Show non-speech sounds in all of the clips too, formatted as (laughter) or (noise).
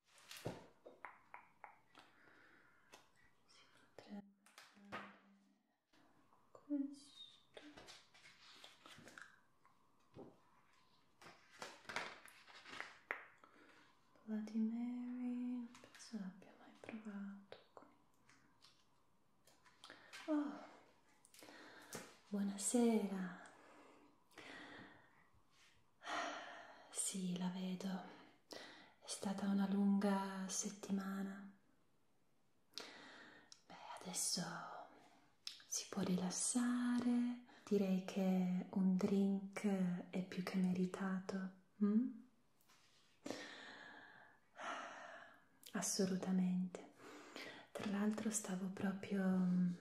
si potrebbe fare questo Bloody Mary, non penso l'abbia mai provato. Oh, buonasera. Sì, la vedo. È stata una lunga settimana. Beh, adesso si può rilassare. Direi che un drink è più che meritato. Mm? Assolutamente. Tra l'altro stavo proprio mm,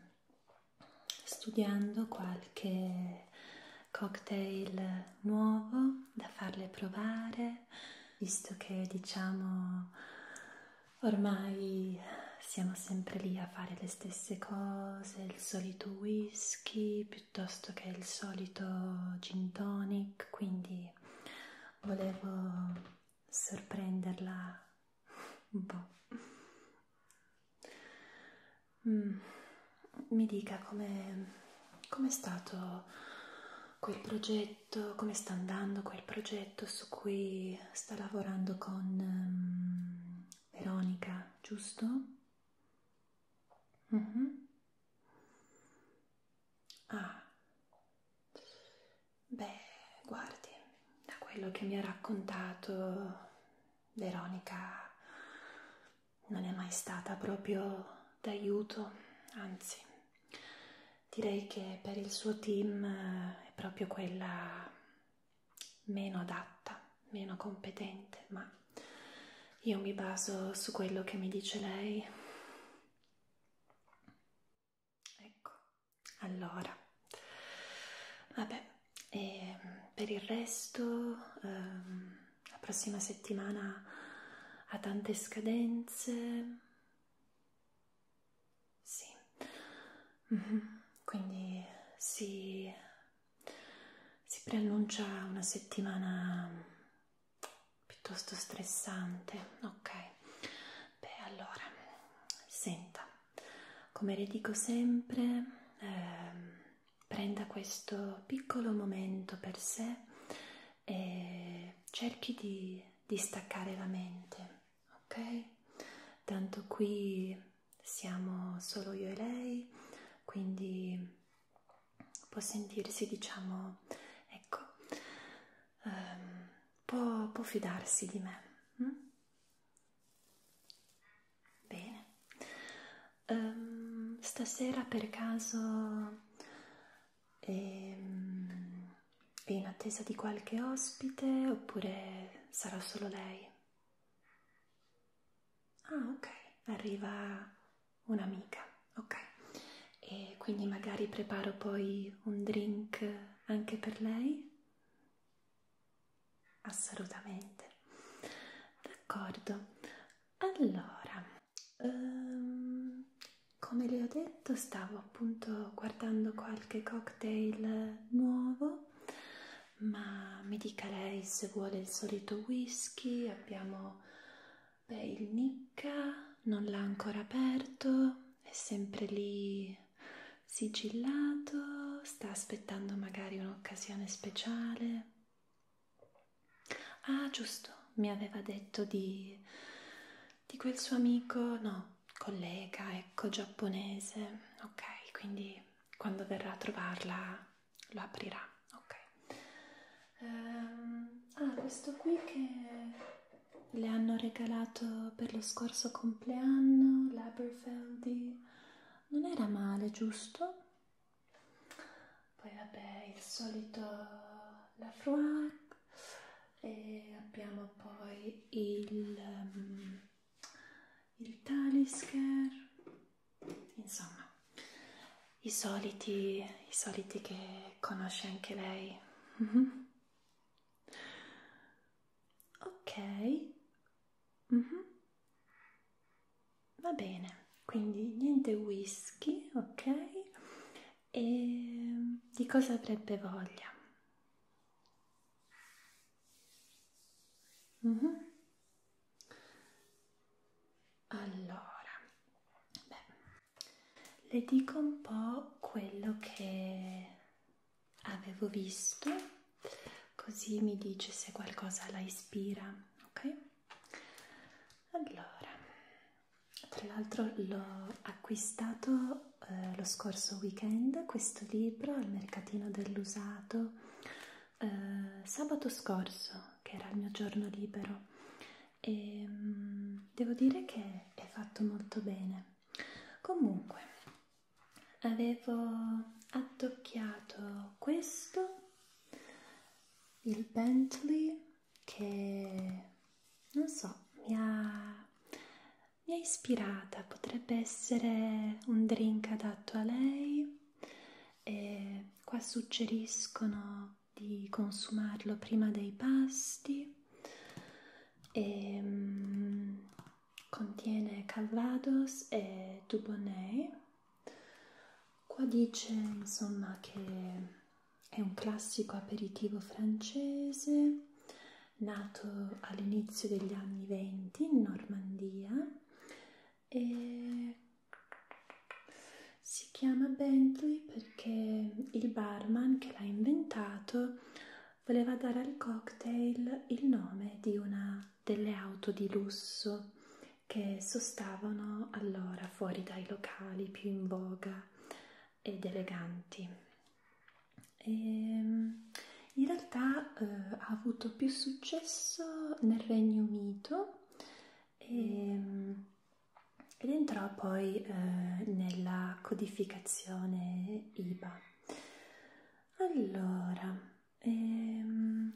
studiando qualche cocktail nuovo da farle provare, visto che diciamo ormai siamo sempre lì a fare le stesse cose, il solito whisky piuttosto che il solito gin tonic, quindi volevo sorprenderla un po' Mm. Mi dica come com è stato quel progetto, come sta andando quel progetto su cui sta lavorando con um, Veronica, giusto? Mm -hmm. Ah, beh, guardi, da quello che mi ha raccontato Veronica non è mai stata proprio d'aiuto, anzi, direi che per il suo team eh, è proprio quella meno adatta, meno competente, ma io mi baso su quello che mi dice lei. Ecco, allora Vabbè, e ehm, per il resto ehm, la prossima settimana ha tante scadenze. Sì, mhm. quindi si, si preannuncia una settimana piuttosto stressante. Ok, beh, allora senta, come le dico sempre, ehm, prenda questo piccolo momento per sé e cerchi di distaccare la mente, ok? Tanto qui siamo solo io e lei, quindi può sentirsi, diciamo, ecco, ehm, può, può fidarsi di me. Hm? Bene. Um, stasera per caso ehm, è in attesa di qualche ospite oppure sarà solo lei? Ah, ok, arriva un'amica, ok. E quindi magari preparo poi un drink anche per lei? assolutamente d'accordo allora um, come le ho detto stavo appunto guardando qualche cocktail nuovo ma mi dica lei se vuole il solito whisky abbiamo beh, il Nicca non l'ha ancora aperto è sempre lì sigillato, sta aspettando magari un'occasione speciale. Ah, giusto, mi aveva detto di, di quel suo amico, no, collega, ecco, giapponese. Ok, quindi quando verrà a trovarla lo aprirà. Ok. Um, ah, questo qui che le hanno regalato per lo scorso compleanno, l'Aberfeldy non era male, giusto? Poi vabbè, il solito la Fruac e abbiamo poi il, um, il Talisker, insomma, i soliti, i soliti che conosce anche lei. (laughs) ok, Mm -hmm. Va bene, quindi niente whisky, ok? E di cosa avrebbe voglia? Mm -hmm. Allora, beh, le dico un po' quello che avevo visto, così mi dice se qualcosa la ispira, ok? Allora, tra l'altro l'ho acquistato eh, lo scorso weekend, questo libro al mercatino dell'usato eh, sabato scorso, che era il mio giorno libero, e ehm, mh, devo dire che è fatto molto bene. Comunque, avevo attocchiato questo il Bentley che non so mi ha, mi ha ispirata potrebbe essere un drink adatto a lei e qua suggeriscono di consumarlo prima dei pasti e ehm, contiene Calvados e Dubonnet. Qua dice insomma che è un classico aperitivo francese nato all'inizio degli anni 20 in Normandia e si chiama Bentley perché il barman che l'ha inventato voleva dare al cocktail il nome di una delle auto di lusso che sostavano allora fuori dai locali più in voga ed eleganti. E ehm, in realtà eh, ha avuto più successo nel Regno Unito e, ehm, ed entrò poi eh, nella codificazione IVA. Allora, Ehm,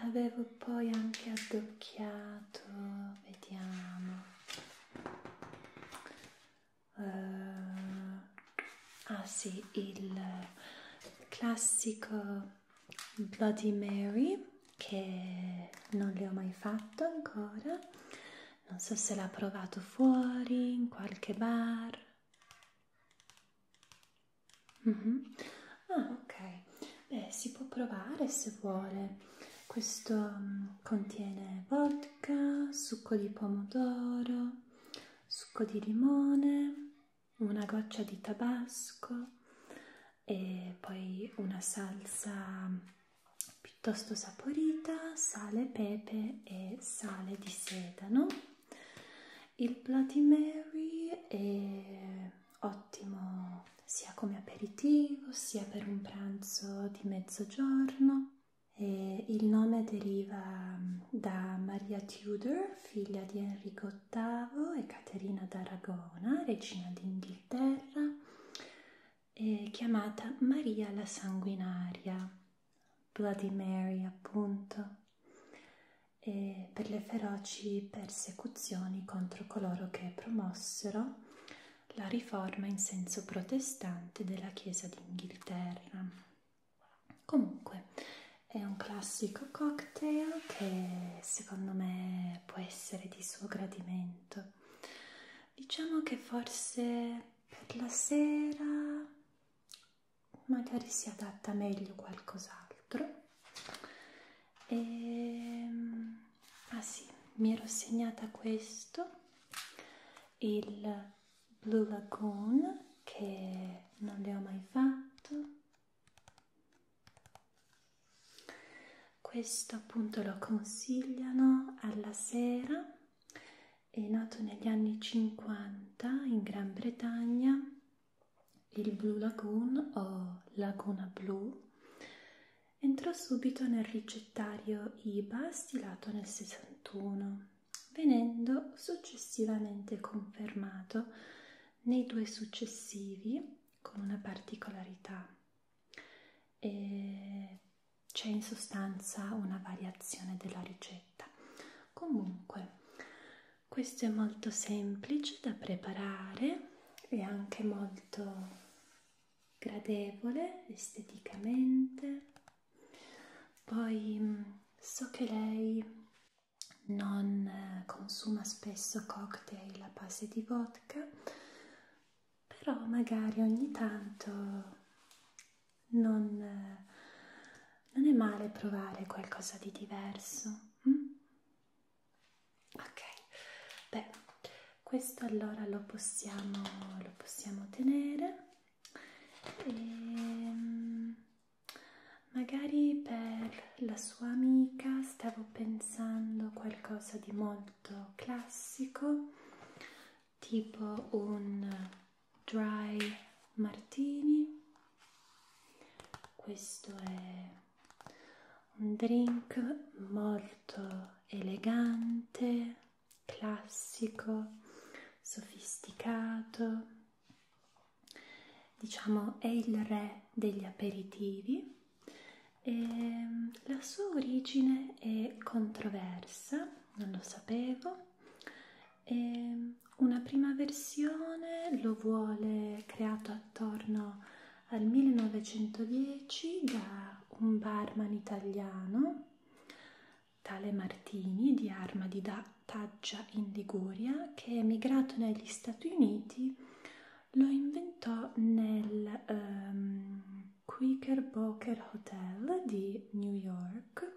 avevo poi anche addocchiato, vediamo, uh, ah sì, il classico Bloody Mary che non le ho mai fatto ancora, non so se l'ha provato fuori in qualche bar. Mm -hmm. Ah, ok. Beh, si può provare se vuole. Questo um, contiene vodka, succo di pomodoro, succo di limone, una goccia di tabasco e poi una salsa piuttosto saporita, sale, pepe e sale di sedano. Il Bloody Mary è ottimo sia come aperitivo sia per un pranzo di mezzogiorno. E il nome deriva mm, da Maria Tudor, figlia di Enrico VIII e Caterina d'Aragona, regina d'Inghilterra, chiamata Maria la Sanguinaria. Bloody Mary, appunto, e per le feroci persecuzioni contro coloro che promossero la riforma in senso protestante della Chiesa d'Inghilterra. Comunque, è un classico cocktail che secondo me può essere di suo gradimento. Diciamo che forse per la sera magari si adatta meglio qualcos'altro e... Ehm, ah sì, mi ero segnata questo il Blue Lagoon che non le ho mai fatto questo appunto lo consigliano alla sera è nato negli anni 50 in Gran Bretagna, il Blue Lagoon o Laguna Blu, entrò subito nel ricettario IBA stilato nel 61, venendo successivamente confermato nei due successivi con una particolarità. C'è in sostanza una variazione della ricetta comunque questo è molto semplice da preparare e anche molto gradevole esteticamente poi mm, so che lei non eh, consuma spesso cocktail a base di vodka però magari ogni tanto non, non è male provare qualcosa di diverso. Hm? Ok, beh, questo allora lo possiamo, lo possiamo tenere e ehm, magari per la sua amica stavo pensando qualcosa di molto classico tipo un dry martini questo è un drink molto elegante classico sofisticato diciamo è il re degli aperitivi e mm, la sua origine è controversa non lo sapevo e ehm, una prima versione lo vuole creato attorno al 1910 da un barman italiano tale Martini di Arma di Taggia in Liguria che emigrato negli Stati Uniti lo inventò nel um, Quaker Boker Hotel di New York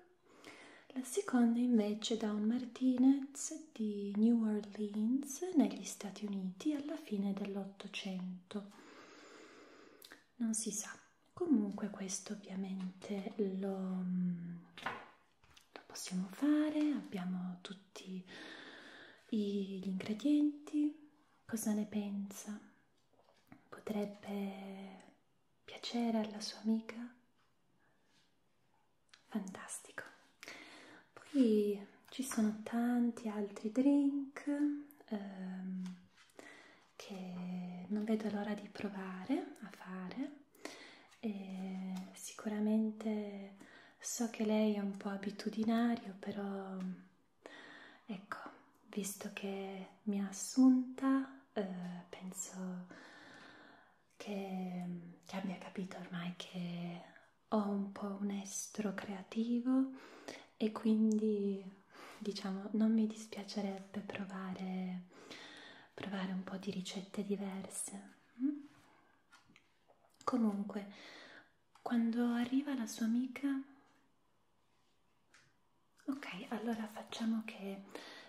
la seconda invece da un Martinez di New Orleans negli Stati Uniti alla fine dell'Ottocento. Non si sa. Comunque questo ovviamente lo, lo possiamo fare, abbiamo tutti gli ingredienti. Cosa ne pensa? Potrebbe piacere alla sua amica? Fantastico. Poi ci sono tanti altri drink ehm, che non vedo l'ora di provare a fare. E sicuramente so che lei è un po' abitudinario, però ecco, visto che mi ha assunta ma eh, penso che, che abbia capito ormai che ho un po' un estro creativo e quindi diciamo non mi dispiacerebbe provare, provare un po' di ricette diverse. Mm? Comunque, quando arriva la sua amica Ok, allora facciamo che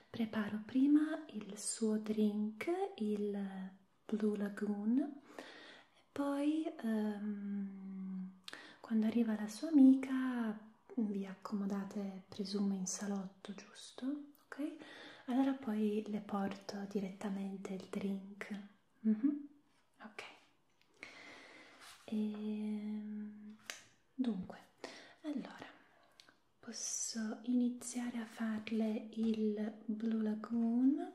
preparo prima il suo drink, il Blue Lagoon, e poi um, quando arriva la sua amica vi accomodate, presumo, in salotto, giusto? Ok, allora poi le porto direttamente il drink. Mm -hmm. Ok. E ehm, Dunque, allora posso iniziare a farle il Blue Lagoon.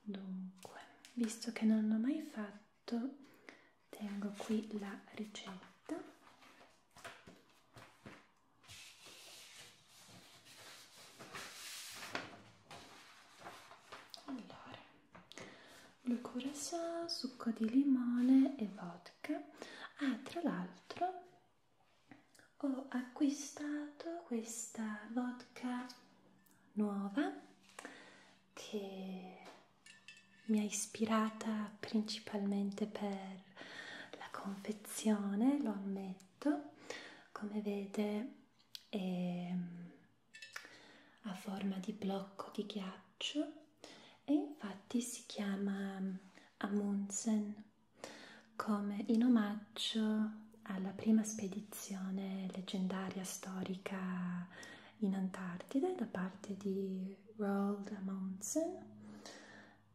Dunque, visto che non l'ho mai fatto, tengo qui la ricetta. Allora, il curacao, succo di limone e vodka. Ah, tra l'altro ho acquistato questa vodka nuova che mi ha ispirata principalmente per la confezione, lo ammetto, come vede è mm, a forma di blocco di ghiaccio e infatti si chiama mm, Amundsen come in omaggio alla prima spedizione leggendaria storica in Antartide da parte di Roald Amundsen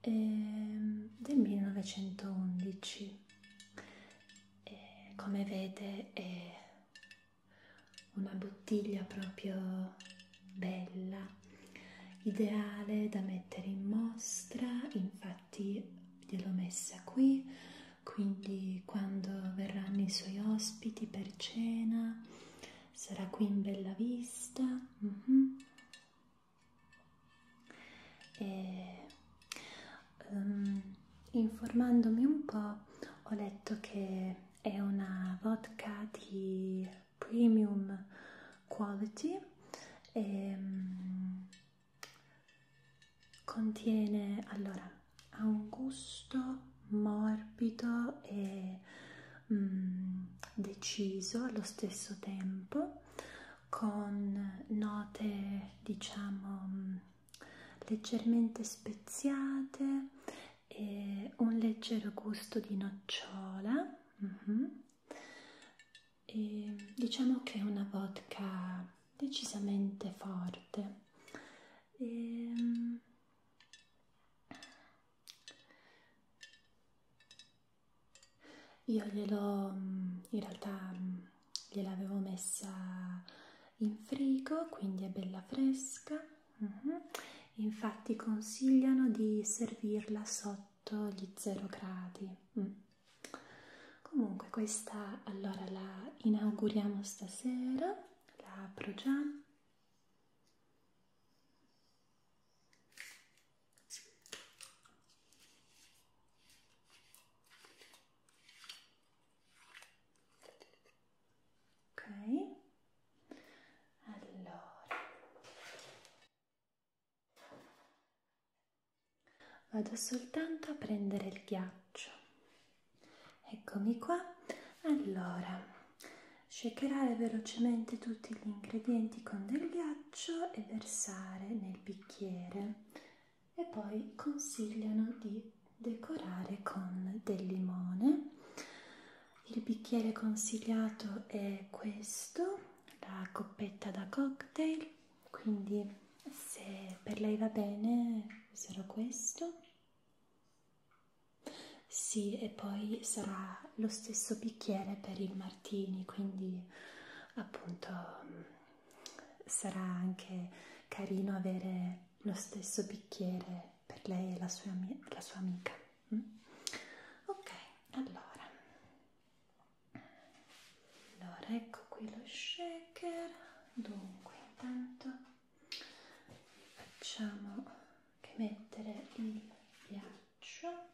ehm, del 1911 e come vede è una bottiglia proprio bella, ideale da mettere in mostra, infatti gliel'ho messa qui, quindi quando verranno i suoi ospiti per cena sarà qui in bella vista. Mm -hmm. E, um, informandomi un po' ho letto che è una vodka di premium quality e ehm, contiene allora ha un gusto morbido e mm, deciso allo stesso tempo con note diciamo mm, leggermente speziate e un leggero gusto di nocciola uh mhm. -huh. e diciamo che è una vodka decisamente forte e... Mm, io glielo mm, in realtà mm, gliel'avevo messa in frigo quindi è bella fresca Mm -hmm. Infatti consigliano di servirla sotto gli 0 gradi. Mm. Comunque questa allora la inauguriamo stasera, la apro già ok allora vado soltanto a prendere il ghiaccio eccomi qua allora shakerare velocemente tutti gli ingredienti con del ghiaccio e versare nel bicchiere e poi consigliano di decorare con del limone il bicchiere consigliato è questo, la coppetta da cocktail, quindi se per lei va bene userò questo. Sì, e poi sarà lo stesso bicchiere per il martini, quindi appunto sarà anche carino avere lo stesso bicchiere per lei e la sua, la sua amica. Mm? Ok, allora. Allora, ecco qui lo shaker. Dunque, intanto facciamo che mettere il ghiaccio.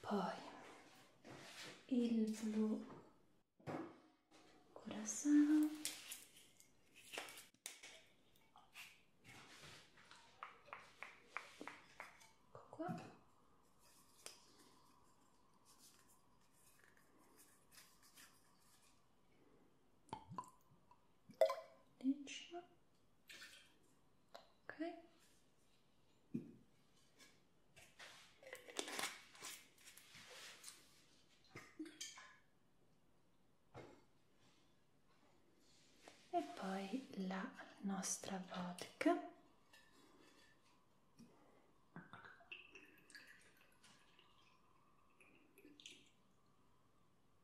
poi il blu curaçao ecco qua Legno ok e poi la nostra vodka Ecco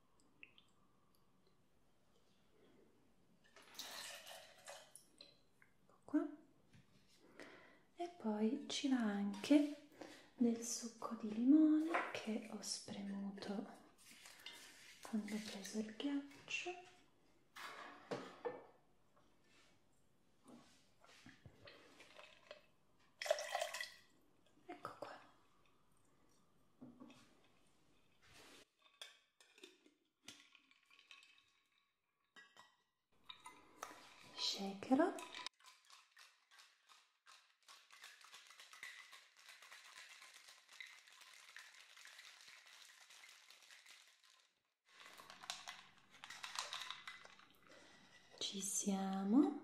qua. E poi ci va anche del succo di limone che ho spremuto quando ho preso il ghiaccio. Ecco qua shakerò ci siamo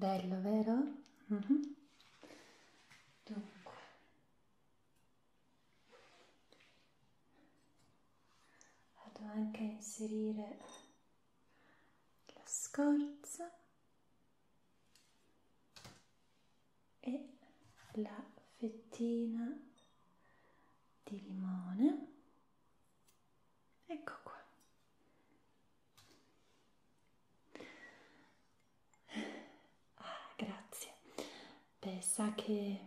Bello, vero? Mm -hmm. Dunque. Vado anche a inserire la scorza e la fettina di limone. Ecco qua. Ah, grazie. Beh, sa che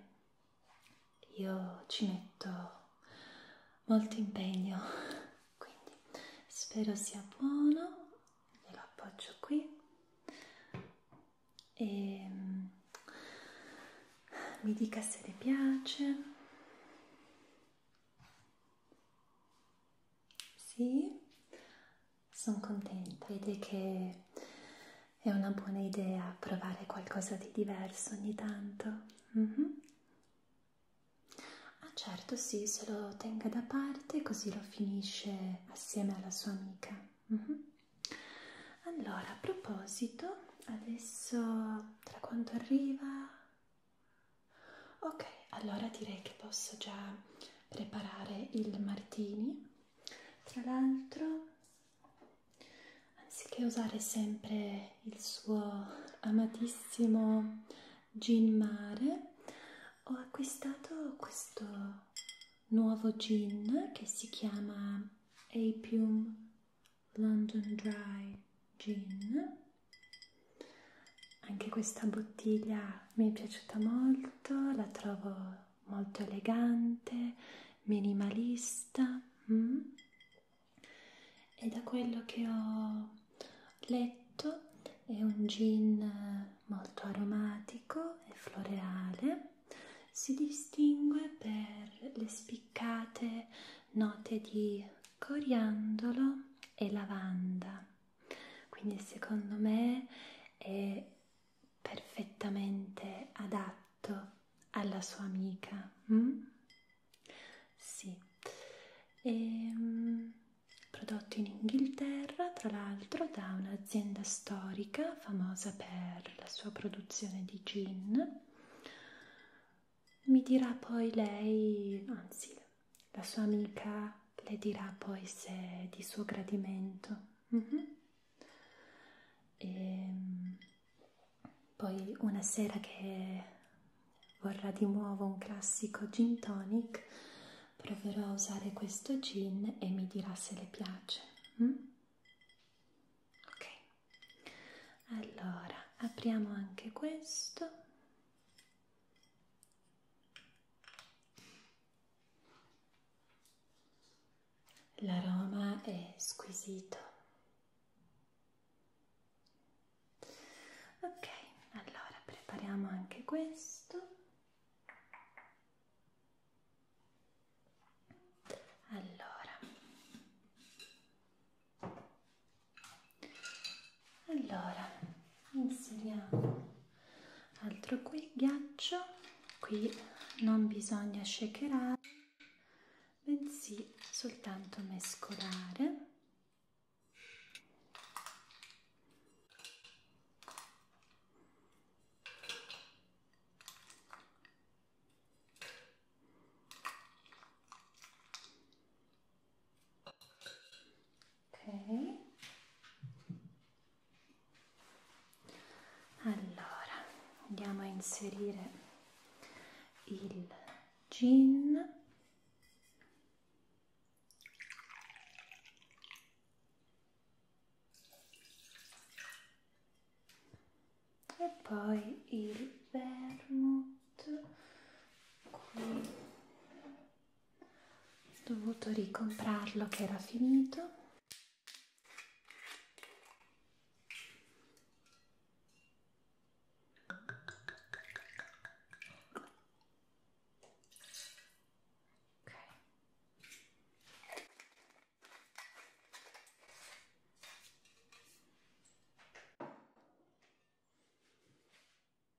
io ci metto molto impegno, quindi spero sia buono, glielo appoggio qui e ehm, mi dica se le piace. Sì, sono contenta. Vede che è una buona idea provare qualcosa di diverso ogni tanto. Mm -hmm. Ah certo, sì, se lo tenga da parte così lo finisce assieme alla sua amica. Mm -hmm. Allora, a proposito, adesso tra quanto arriva? Ok, allora direi che posso già preparare il martini. Tra l'altro, anziché usare sempre il suo amatissimo gin mare, ho acquistato questo nuovo gin che si chiama Apium London Dry Gin anche questa bottiglia mi è piaciuta molto, la trovo molto elegante, minimalista mm? e da quello che ho letto è un gin molto aromatico e floreale, si distingue per le spiccate note di coriandolo e lavanda quindi secondo me è perfettamente adatto alla sua amica mm? sì e, ehm, prodotto in Inghilterra tra l'altro da un'azienda storica famosa per la sua produzione di gin mi dirà poi lei, anzi la sua amica le dirà poi se è di suo gradimento. Mm -hmm. E ehm, poi una sera che vorrà di nuovo un classico gin tonic, proverò a usare questo gin e mi dirà se le piace. Mm? Ok, allora apriamo anche questo. L'aroma è squisito. Ok, allora prepariamo anche questo. Allora, allora inseriamo altro qui ghiaccio qui non bisogna shakerare bensì soltanto mescolare ok allora andiamo a inserire il gin e poi il vermouth qui ho dovuto ricomprarlo che era finito ok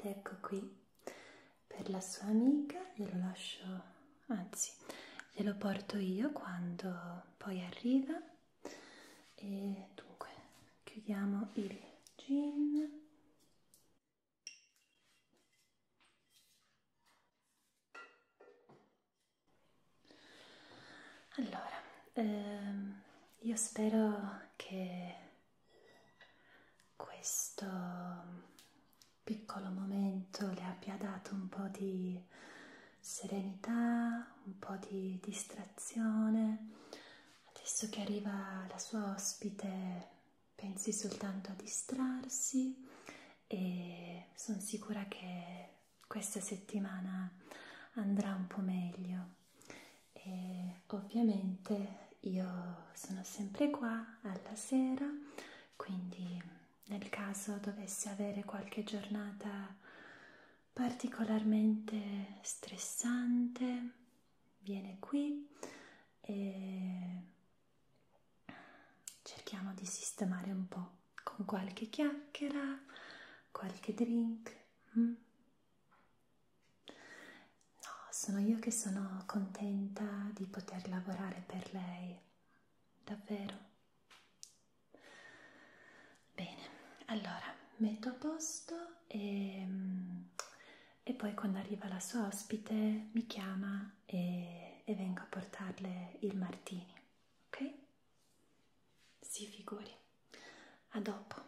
Ed ecco qui per la sua amica, glielo lascio, anzi, glielo porto io quando poi arriva. E dunque, chiudiamo il gin allora, ehm, io spero che questo piccolo momento le abbia dato un po' di serenità, un po' di distrazione. Adesso che arriva la sua ospite pensi soltanto a distrarsi e sono sicura che questa settimana andrà un po' meglio e ovviamente io sono sempre qua alla sera quindi nel caso dovessi avere qualche giornata particolarmente stressante viene qui e cerchiamo di sistemare un po' con qualche chiacchiera, qualche drink. Mm? No, sono io che sono contenta di poter lavorare per lei, davvero. Bene, allora metto a posto e mm, e poi quando arriva la sua ospite mi chiama e, e vengo a portarle il martini, ok? Si figuri. A dopo.